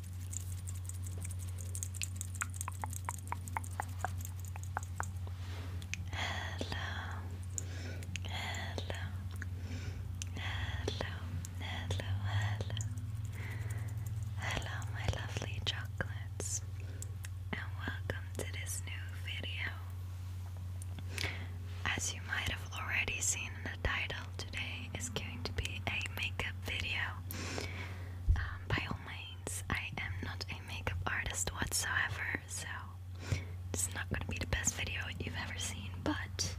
hello, hello, hello, hello, hello, my lovely chocolates, and welcome to this new video. As you might have already seen in the title, today is going to be a makeup video. Um, by all means, I am not a makeup artist whatsoever, so it's not going to be the best video you've ever seen, but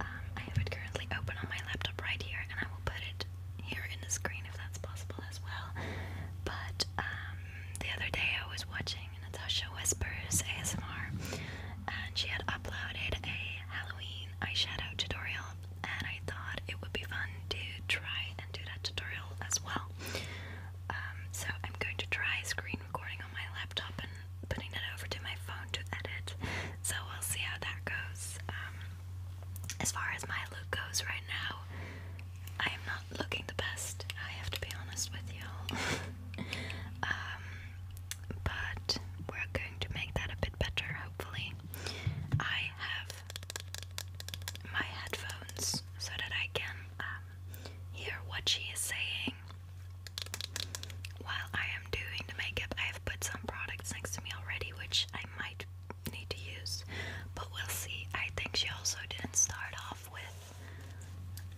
um, I have it currently open on my laptop right here, and I will put it here in the screen if that's possible as well. But um, the other day I was watching Natasha Whispers ASMR, and she had uploaded a Halloween eyeshadow tutorial and I thought it would be fun to try and do that tutorial as well. Um, so I'm going to try screen recording on my laptop and putting that over to my phone to edit. So we'll see how that goes. Um, as far as my look goes right now, I am not looking the best. I have to be honest with you. um, but we're going to make that a bit better, hopefully. I have my headphones so that I can um, hear what she is saying while I am doing the makeup. I have put some products next to me already, which I might need to use, but we'll see. I think she also didn't start off with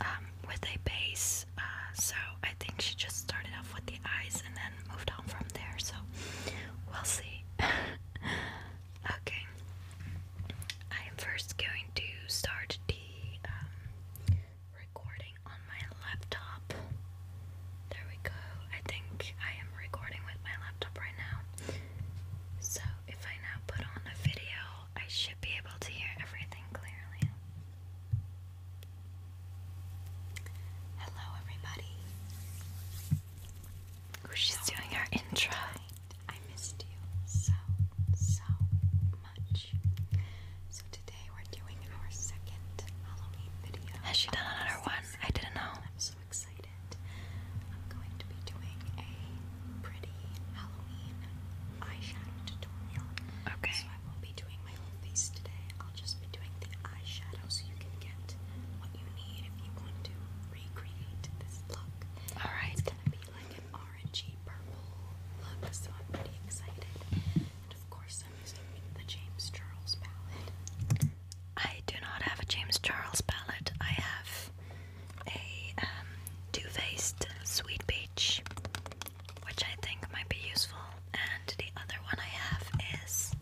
um, with a base, uh, so I think she just started off with the eyes and then moved on from there, so we'll see. okay, I am first going to start the um, recording on my laptop. There we go. I think I am recording with my laptop right now. So if I now put on a video, I should be able to hear everything clearly. Hello, everybody. She's doing her intro. I missed you so, so much. So today we're doing our second Halloween video. Has she done another one? I didn't know. I'm so excited. I'm going to be doing a pretty Halloween eyeshadow tutorial. Okay my whole face today. I'll just be doing the eyeshadow so you can get what you need if you want to recreate this look. Alright. It's gonna be like an orangey purple look, so I'm pretty excited. And of course I'm using the James Charles palette. I do not have a James Charles palette. I have a um, Too Faced Sweet Peach, which I think might be useful and the other one I have is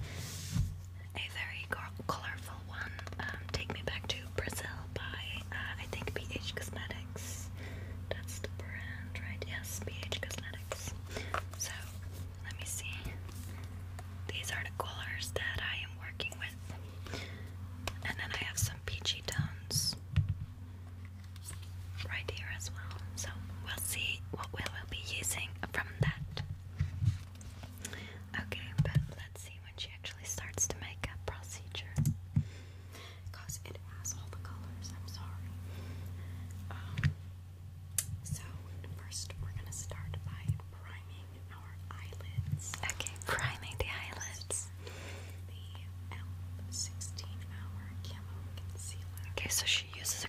a very colorful one, um, Take Me Back to Brazil by, uh, I think, BH Cosmetics. That's the brand, right? Yes, BH Cosmetics. So, let me see. These are the colors that I am working with. And then I have some peachy tones right here as well. So, we'll see what will i will be using from that. Okay, but let's see when she actually starts to make a procedure. Because it has all the colors, I'm sorry. Um, so, first we're going to start by priming our eyelids. Okay, priming the eyelids. The L16 Hour Camo Concealer. Okay, so she uses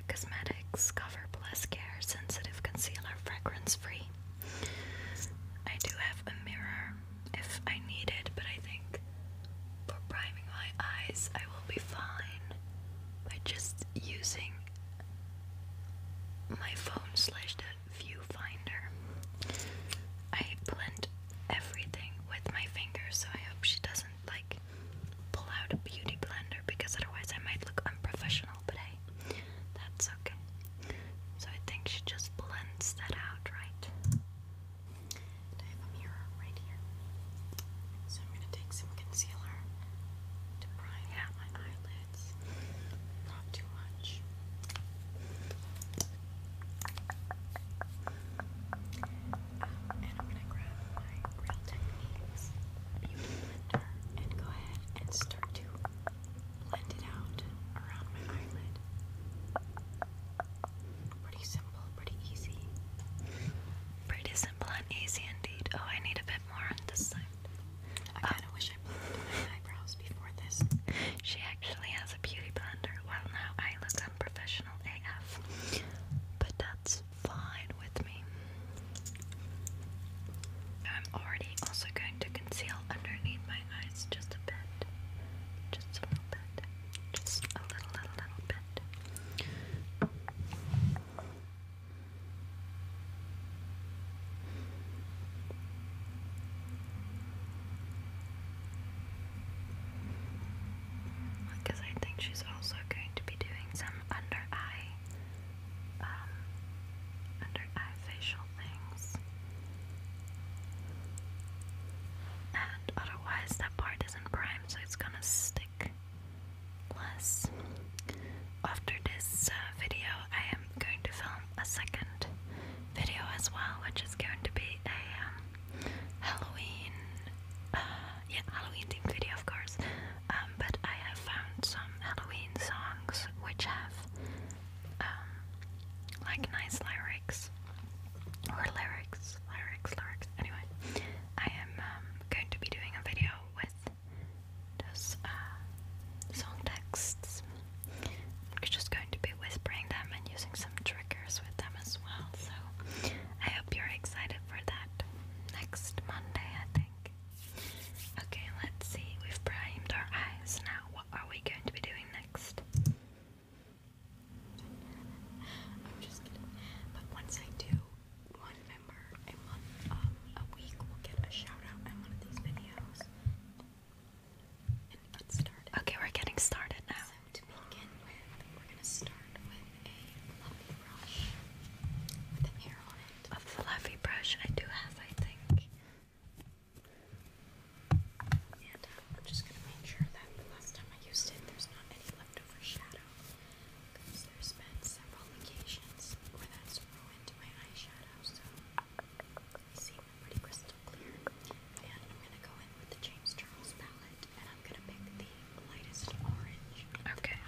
Cosmetics Cover Plus Care Sensitive Concealer Fragrance Free. I do have a mirror if I need it, but I think for priming my eyes, I will be fine by just using my phone slash the viewfinder. I blend everything with my fingers, so I hope she doesn't like pull out a beauty blender because otherwise I might look unprofessional that's okay. So I think she just blends that out, right? mirror right here. So I'm gonna take some concealer to prime yeah. my eyelids. Not too much. and I'm gonna grab my Real Techniques and go ahead and start to blend it out around my eyelid. Pretty simple, pretty easy. Pretty simple and easy indeed. Oh, I need a bit more on this side. I ah. kind of wish I blended eyebrows before this. She actually has a beauty blender. Well, now I look unprofessional AF. But that's fine it with me. I'm already also going to conceal underneath my eyes just a bit. Just a little bit. Just a little, little, little bit. Because I think she's also going to be doing some under eye um, under eye facial things. And otherwise, that part isn't primed, so it's gonna stick less. After this uh, video, I am going to film a second video as well, which is going to be a um, Halloween, uh, yeah, Halloween themed video, of course. Um, but I have found some Halloween songs which have um, like nice lyrics or lyrics, lyrics, lyrics. Anyway, I am um, going to be doing a video with those uh, song texts. I'm just going to be whispering them and using some triggers with them as well. So I hope you're excited for that next Monday I think. Okay, let's see. We've primed our eyes now. What are we going to be doing next? I'm just kidding. But once I do, one member a month, um, a week will get a shout out in one of these videos. And get started. Okay, we're getting started now. So to begin with, we're gonna start with a fluffy brush with an hair a fluffy brush. I do have, I think. And I'm just gonna make sure that the last time I used it, there's not any leftover shadow, because there's been several occasions where that's ruined my eyeshadow. So they seem pretty crystal clear. And I'm gonna go in with the James Charles palette, and I'm gonna pick the lightest orange. Okay.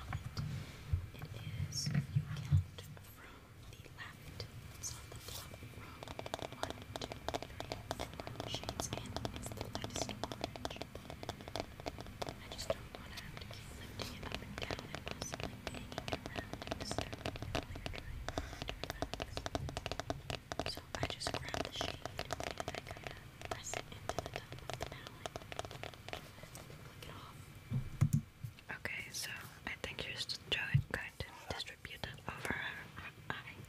It is, if you count from the left. So on the top row, one, two, three, four shades in is the lightest I just don't want to have to keep lifting it up and down and possibly banging it and disturbing it while you So I just grab the shade and I kind of press it into the top of the palette and then it off. Okay, so I think you're just trying, going to distribute it over her eye.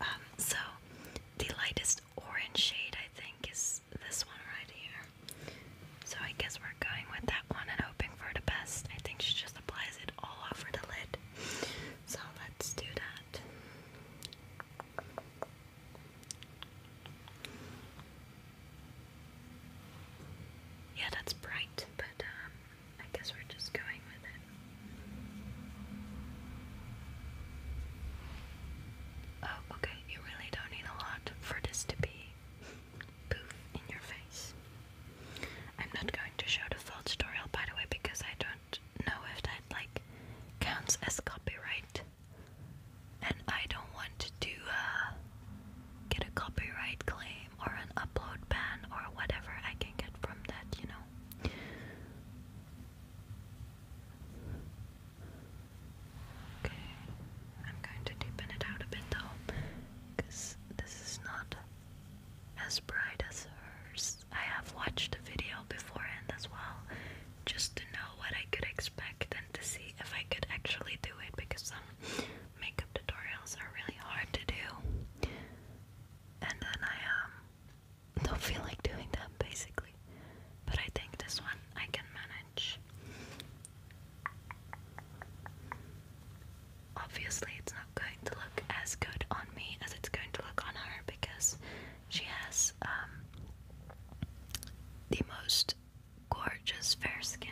Um, so the lightest orange shade, I think, is this one right here. So I guess we're going with that one and hoping for the best. I think she just applies it all over the lid. So let's do that. Yeah, that's bright, but um, I guess we're just going with it. Oh, okay, you really don't need a lot for this to be poof in your face. I'm not going to show the full tutorial, by the way, because I don't know if that, like, counts as copyright and I don't want to uh, get a copyright claim or an upload ban or whatever I can get from that, you know. Okay, I'm going to deepen it out a bit though, because this is not as bright as hers. I have watched the video beforehand as well, just to know what I could expect expect and to see if I could actually do it because some um, makeup tutorials are really hard to do. And then I um, don't feel like doing them basically. But I think this one I can manage. Obviously, it's not going to look as good on me as it's going to look on her because she has um, the most gorgeous fair skin,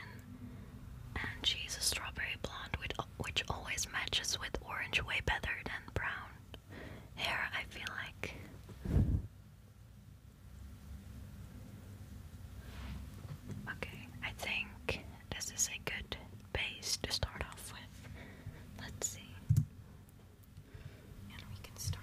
and she's a strawberry blonde, which, which always matches with orange way better than brown hair, I feel like. Okay, I think this is a good base to start off with. Let's see. we can start.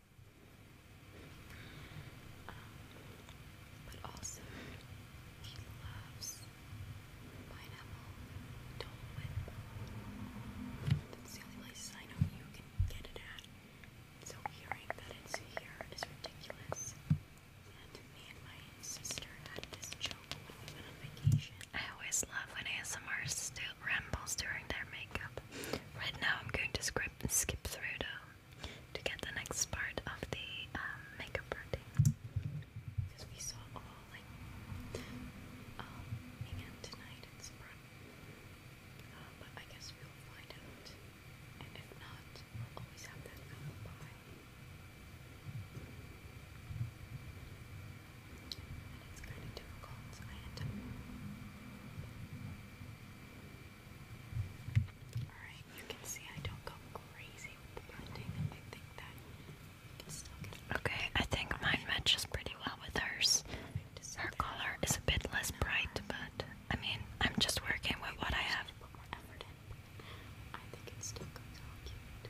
but also, he loves pineapple Dole Whip. That's the only place I you can get it at. So hearing that it's here is ridiculous. me and my sister had this joke when we went on vacation. I always love when ASMRs do rambles during their makeup. Right now I'm going to skip, skip through them to get the next part of the um, makeup routine. Because we saw all like um, tonight uh, but I guess we'll find out. And if not, we'll always have that out And it's kind of difficult, I think Okay, I think mine matches pretty well with hers. Her color is a bit less bright, but I mean, I'm just working with what I have. I think it still comes out cute.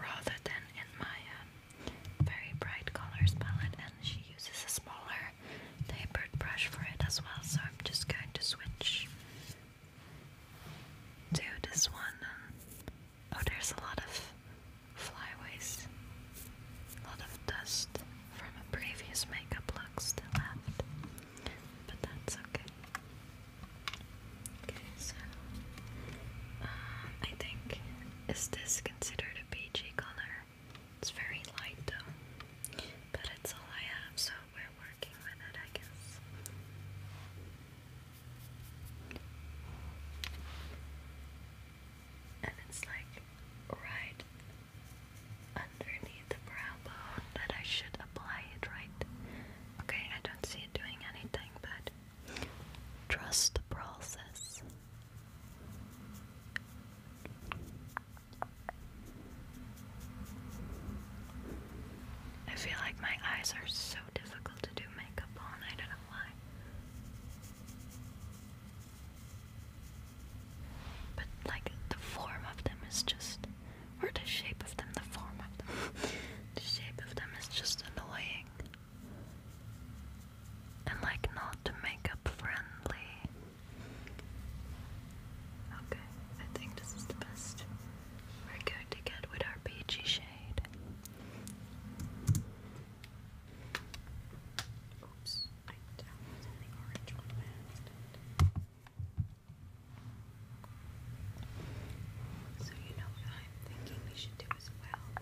rather than in my um, very bright colors palette and she uses a smaller tapered brush for it as well so I'm just going to switch to this one. Oh there's a lot of flyaways, a lot of dust from a previous makeup look still left but that's okay. Okay, so uh, I think is this considered a PG color? It's very light though, but it's all I have, so we're working with it, I guess. And it's like right underneath the brow bone that I should apply it, right? Okay, I don't see it doing anything, but Trust the process. I feel like my eyes are so difficult to do makeup on, I don't know why. But like the form of them is just or the shape of them, the form of them. the shape of them is just annoying and like not makeup friendly. Okay, I think this is the best we're going to get with our peachy shade. Oops, I was the orange one bad. So you know what I'm thinking we should do as well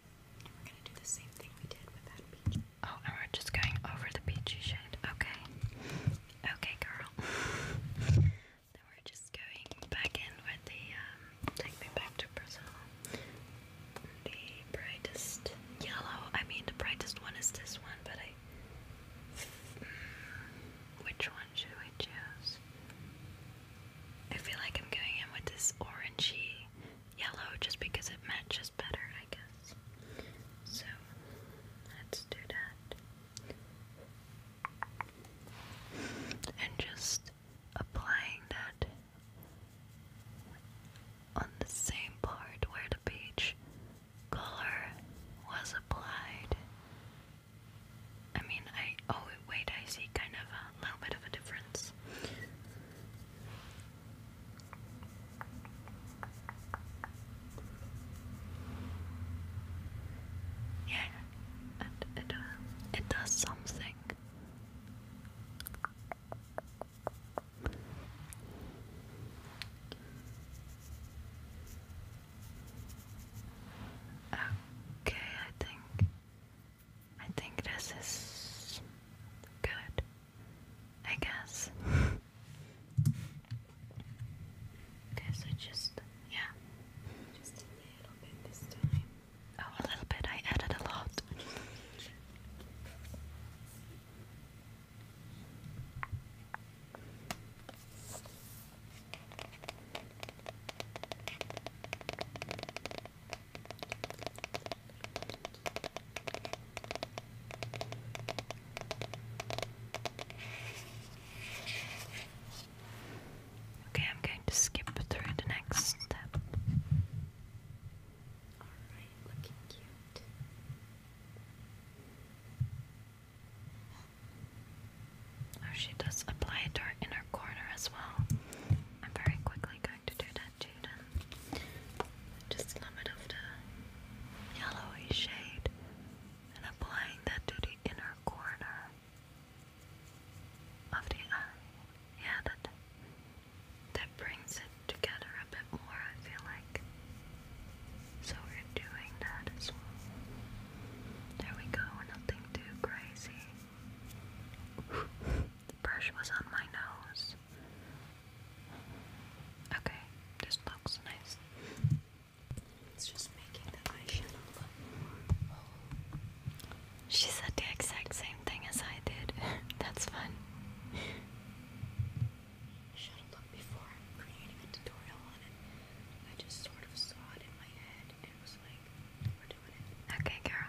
We're Oh, and we're just going over the peachy shade. Okay. Okay, girl. then we're just going back in with the, um, take me back to Brazil. The brightest yellow. I mean, the brightest one is this one, but mm, Which one should we choose? I feel like I'm going in with this orangey yellow just because it matches better, I guess. So let's do that. And just applying that on the same part where the beach color was applied. I mean, I always Wait, I see kind of a little bit of a difference. Yeah, it, uh, it does something. Okay, I think I think this is good, I guess. okay, so just, yeah. Just a little bit this time. Oh, a little bit. I added a lot. Okay, I'm going to skip through the next step. Alright, looking cute. Oh, she does apply it to her inner corner as well. I'm very quickly going to do that to them. Just a little bit of the yellowy shade and applying that to the inner corner of the eye. Yeah, that that brings it together a bit more, I feel like. So we're doing that as well. There we go, nothing too crazy the brush was on my nose. Okay, this looks nice. It's just making the eyeshadow look more. She said the exact same thing as I did. That's fun. I should have looked before creating a tutorial on it. I just sort of saw it in my head and was like, we're doing it. Okay, girl.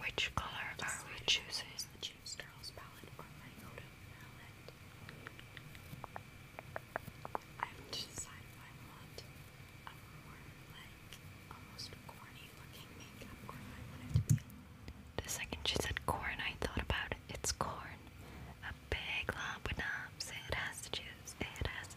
Which color are we choosing? the James Charles palette or my Odom palette. second she said corn, I thought about it. It's corn. A big lump with It has to choose. It has to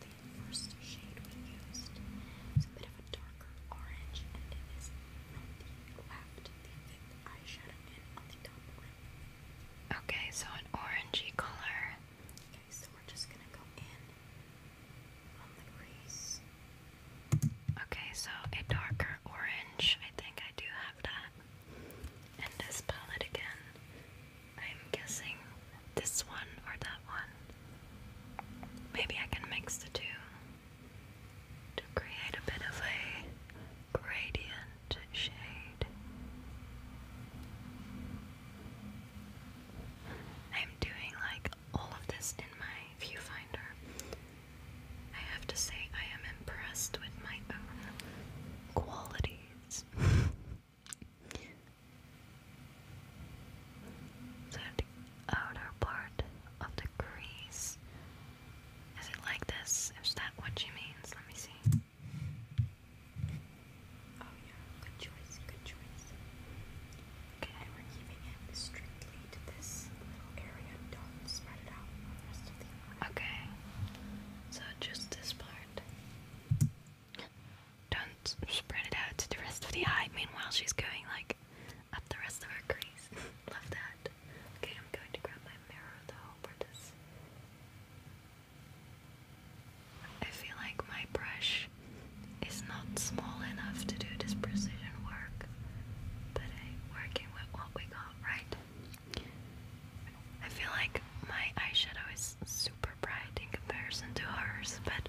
the first shade we used. It's a bit of a darker orange, and it is from the left, the fifth eyeshadow in on the top Okay, so an orangey color. Okay, so we're just gonna go in on the crease. Okay, so a darker orange. I think I do have that. And this palette again, I'm guessing this one or that one. Maybe I can mix the two to create a bit of a gradient shade. I'm doing like all of this in my viewfinder. I have to say, I am impressed with my own qualities. the outer part of the crease. Is it like this? Is that what she means? Let me see. Oh yeah, good choice, good choice. Okay, we're keeping it strictly to this little area. Don't spread it out on the rest of the eye. Okay, so just this part. Don't spread it out to the rest of the eye. Meanwhile, she's going like up the rest of her crease. Love that. Okay, I'm going to grab my mirror though for this. I feel like my brush is not small enough to do this precision work, but I'm working with what we got, right? I feel like my eyeshadow is super bright in comparison to hers, but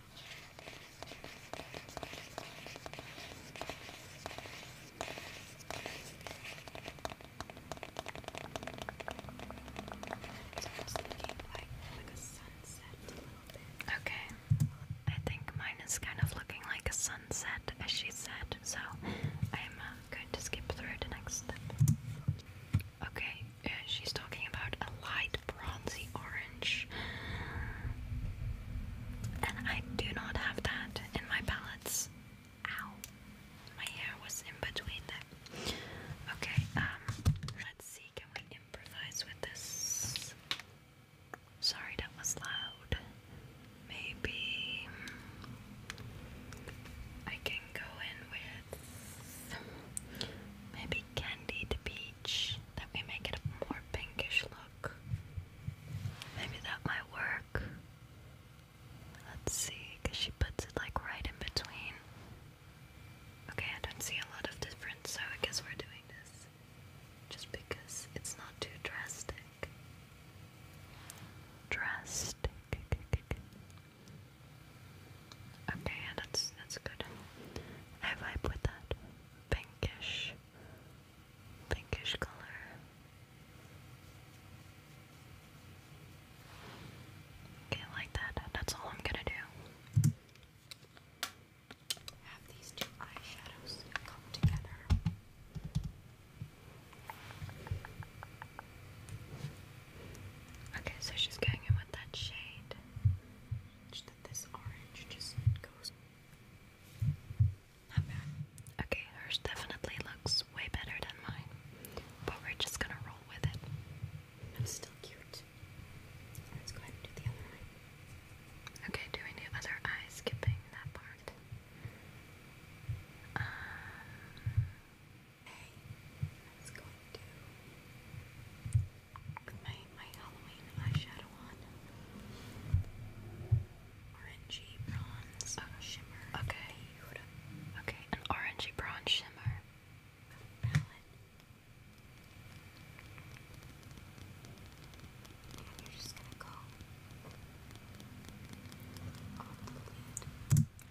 Okay. I think mine is kind of looking like a sunset, as she said, so I'm uh, going to skip through the next step. Okay, uh, she's talking about a light bronzy orange. And I do not have that in my palettes. Ow. My hair was in between them. Okay, um, let's see, can we improvise with this? Sorry, that was loud. Maybe I can go in with maybe Ken. The beach. that we make it a more pinkish look. Maybe that might work. Let's see, because she puts it like right in between. Okay, I don't see a lot of difference, so I guess we're doing this just because it's not too drastic. Drastic. Okay, yeah, that's that's good. Have I put that? pinkish, pinkish color. Okay, like that. That's all I'm gonna do. Okay, so she's going in with that shade. That this orange just goes not bad. Okay, hers definitely looks way better than mine. But we're just gonna roll with it. It's still cute. Let's go ahead and do the other eye. Okay, doing the other eye, skipping that part. okay, um, let's go do my, my Halloween eyeshadow on. Orangey bronze shimmer. Okay. Okay, an orangey bronze shimmer. Palette. And you're just gonna go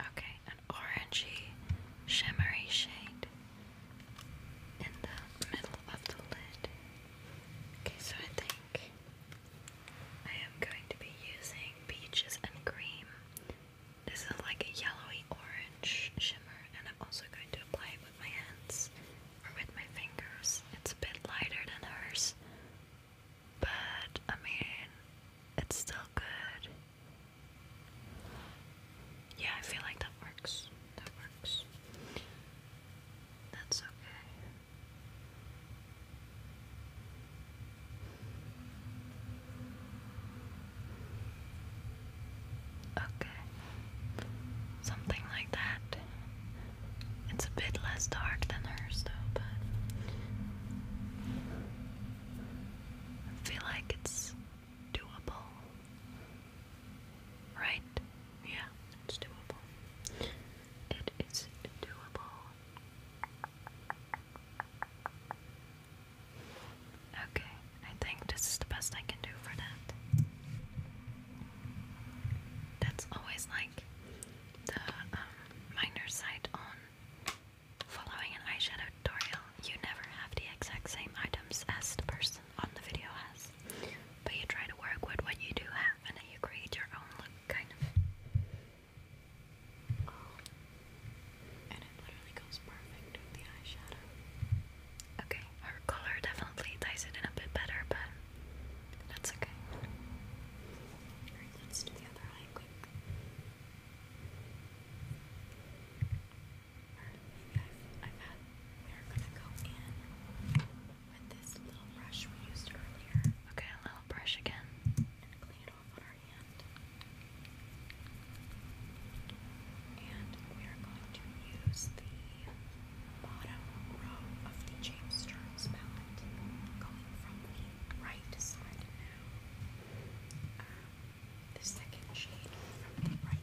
Okay, an orangey shimmery shade in the middle of the lid. Okay, so I think I am going to be using peaches and cream. This is like a yellowy orange shimmer, and I'm also going to apply it with my hands or with my fingers. It's a bit lighter than hers, but I mean, it's still good. Yeah, I feel like that works. That works. That's okay. Okay. Something like that. It's a bit less dark than hers, though, but I feel like it's doable. Right? Yeah, it's doable. It is doable. Okay, I think this is the best I can do for that. That's always like the um, minor side on following an eyeshadow tutorial. You never have the exact same items as the person on the video has, but you try to work with what you do have and then you create your own look, kind of. Oh. And it literally goes perfect with the eyeshadow. Okay, her color definitely ties it in a bit better, but that's okay. Alright, let's do the other eye we're gonna Okay, a little brush again. And clean it off on our hand. And we are going to use the bottom row of the James Sturms palette, going from the right side now. Um, the second shade from the right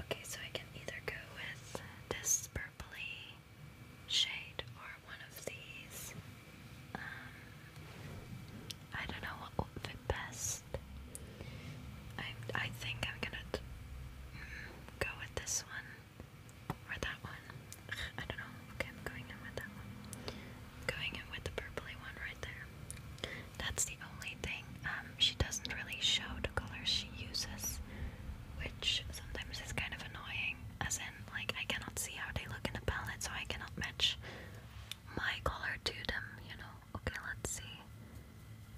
Okay, so I can either go with this purpley shade or one of these. Um, I don't know what will fit best. I I think I'm gonna mm, go with this one or that one. I don't know. Okay, I'm going in with that one. going in with the purpley one right there. That's the only thing. Um, she doesn't really show the colors she uses, which sometimes is kind of annoying. As in, like, I cannot see how they look in the palette, so I cannot match my color to them, you know? Okay, let's see.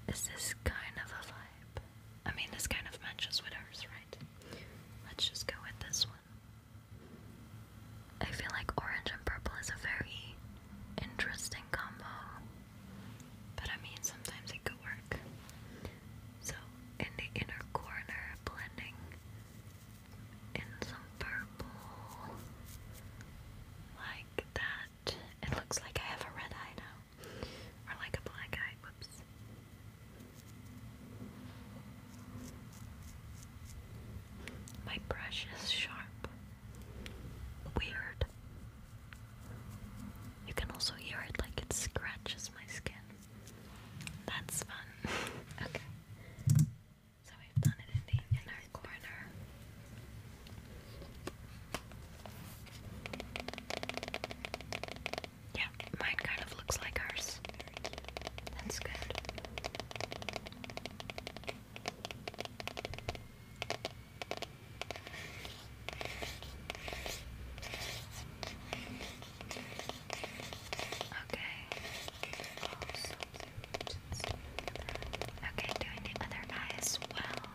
Is this kind of a vibe? I mean, this kind of matches with ours, right? Let's just go with this one. I feel like orange and purple is a very interesting combo. But I mean, sometimes it could work. So, in the inner corner, blending in some purple like that. It looks like I have a red eye now, or like a black eye. Whoops. My brush is sharp. Weird. You can also hear it like it scratches my skin. That's fun. okay. So we've done it in the inner corner. Yeah, mine kind of looks like hers. That's good. Okay, doing the other eye as well.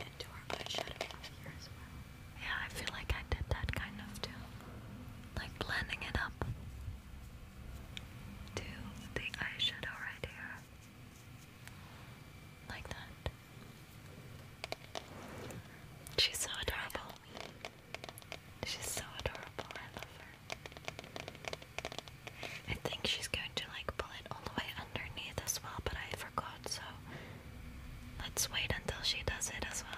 Into our eyeshadow here as well. Yeah, I feel like I did that kind of too. Like blending it up to the eyeshadow right here. Like that. She's so adorable. She's so adorable. I love her. I think she's going to like pull it all the way underneath as well, but I forgot, so let's wait until she does it as well.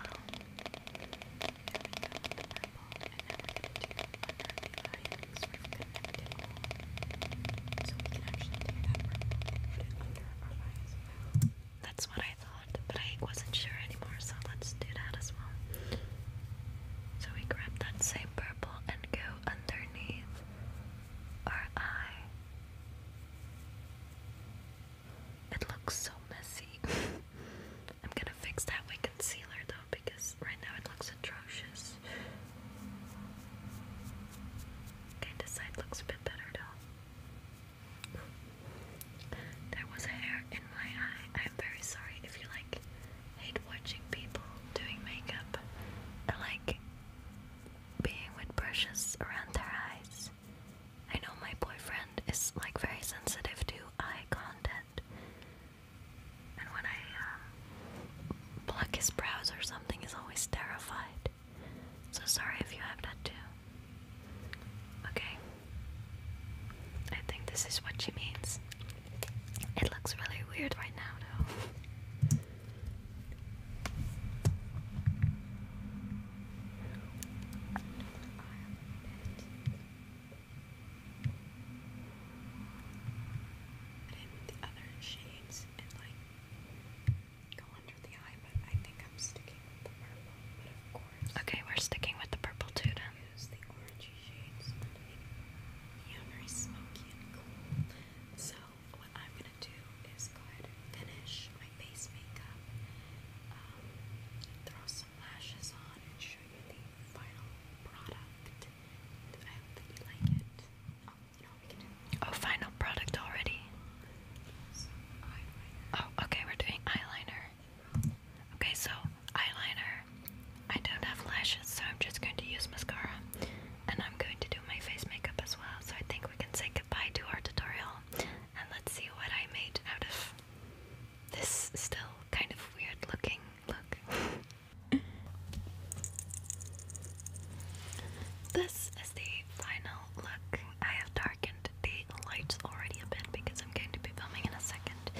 That's what I thought, but I wasn't sure anymore, so let's do that as well. So we grab that same purple and go underneath our eye. It looks so messy. I'm gonna fix that with concealer though, because right now it looks atrocious. Okay, this side looks a bit better though. There was hair in my eye. I'm very sorry if you like hate watching people doing makeup or like being with brushes around their eyes. I know my boyfriend is like very sensitive to eye contact, and when I um, pluck his brows or something is always terrified. So sorry if you have that too. Okay. I think this is what she means. It looks really weird right now though shades and like I am sticking with the purple. okay, we're sticking with the purple too. Then. Use the orangey shades Yeah, very smoky and cool. So what I'm gonna do is go ahead and finish my base makeup, um, throw some lashes on, and show you the final product. I hope that you like it. Oh, final product already. Oh, okay, we're doing eyeliner. Okay, so eyeliner. I don't have lashes, so I'm just going to use mascara. And I'm going to do my face makeup as well, so I think we can say goodbye to our tutorial. And let's see what I made out of this still kind of weird looking look. This is the final look. I have darkened the lights already a bit because I'm going to be filming in a second.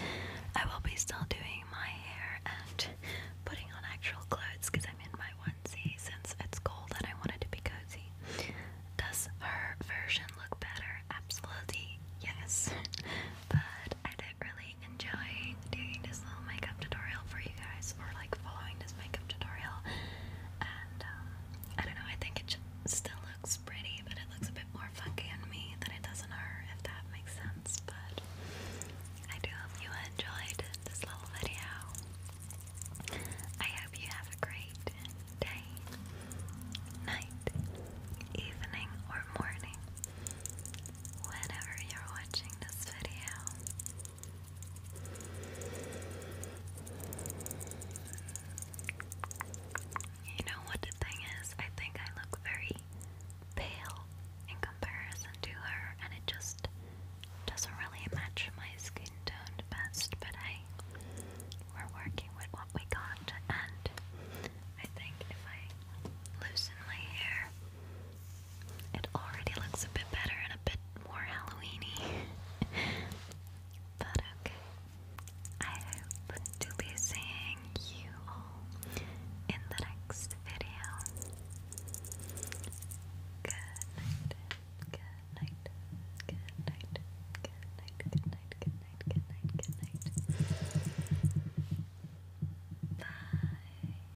I will be still doing my hair and putting on actual clothes because I'm in my onesie since it's cold and I wanted to be cozy. Does her version look better? Absolutely yes. But I don't really Enjoying doing this little makeup tutorial for you guys, or like following this makeup tutorial. And um, I don't know, I think it still looks pretty, but it looks a bit more funky on me than it does on her, if that makes sense. But I do hope you enjoyed this little video. I hope you have a great day, night, evening, or morning. Whenever you're watching this video, you know what the thing is? I think I look very pale in comparison to her, and it just doesn't really match my skin tone best, but hey, we're working with what we got, and I think if I loosen my hair it already looks a bit better and a bit more Halloweeny. but okay. I hope to be seeing you all in the next video. Good night. Good night. Good night. Good night. Good night. Good night. Good night. Good night. Good night. Bye.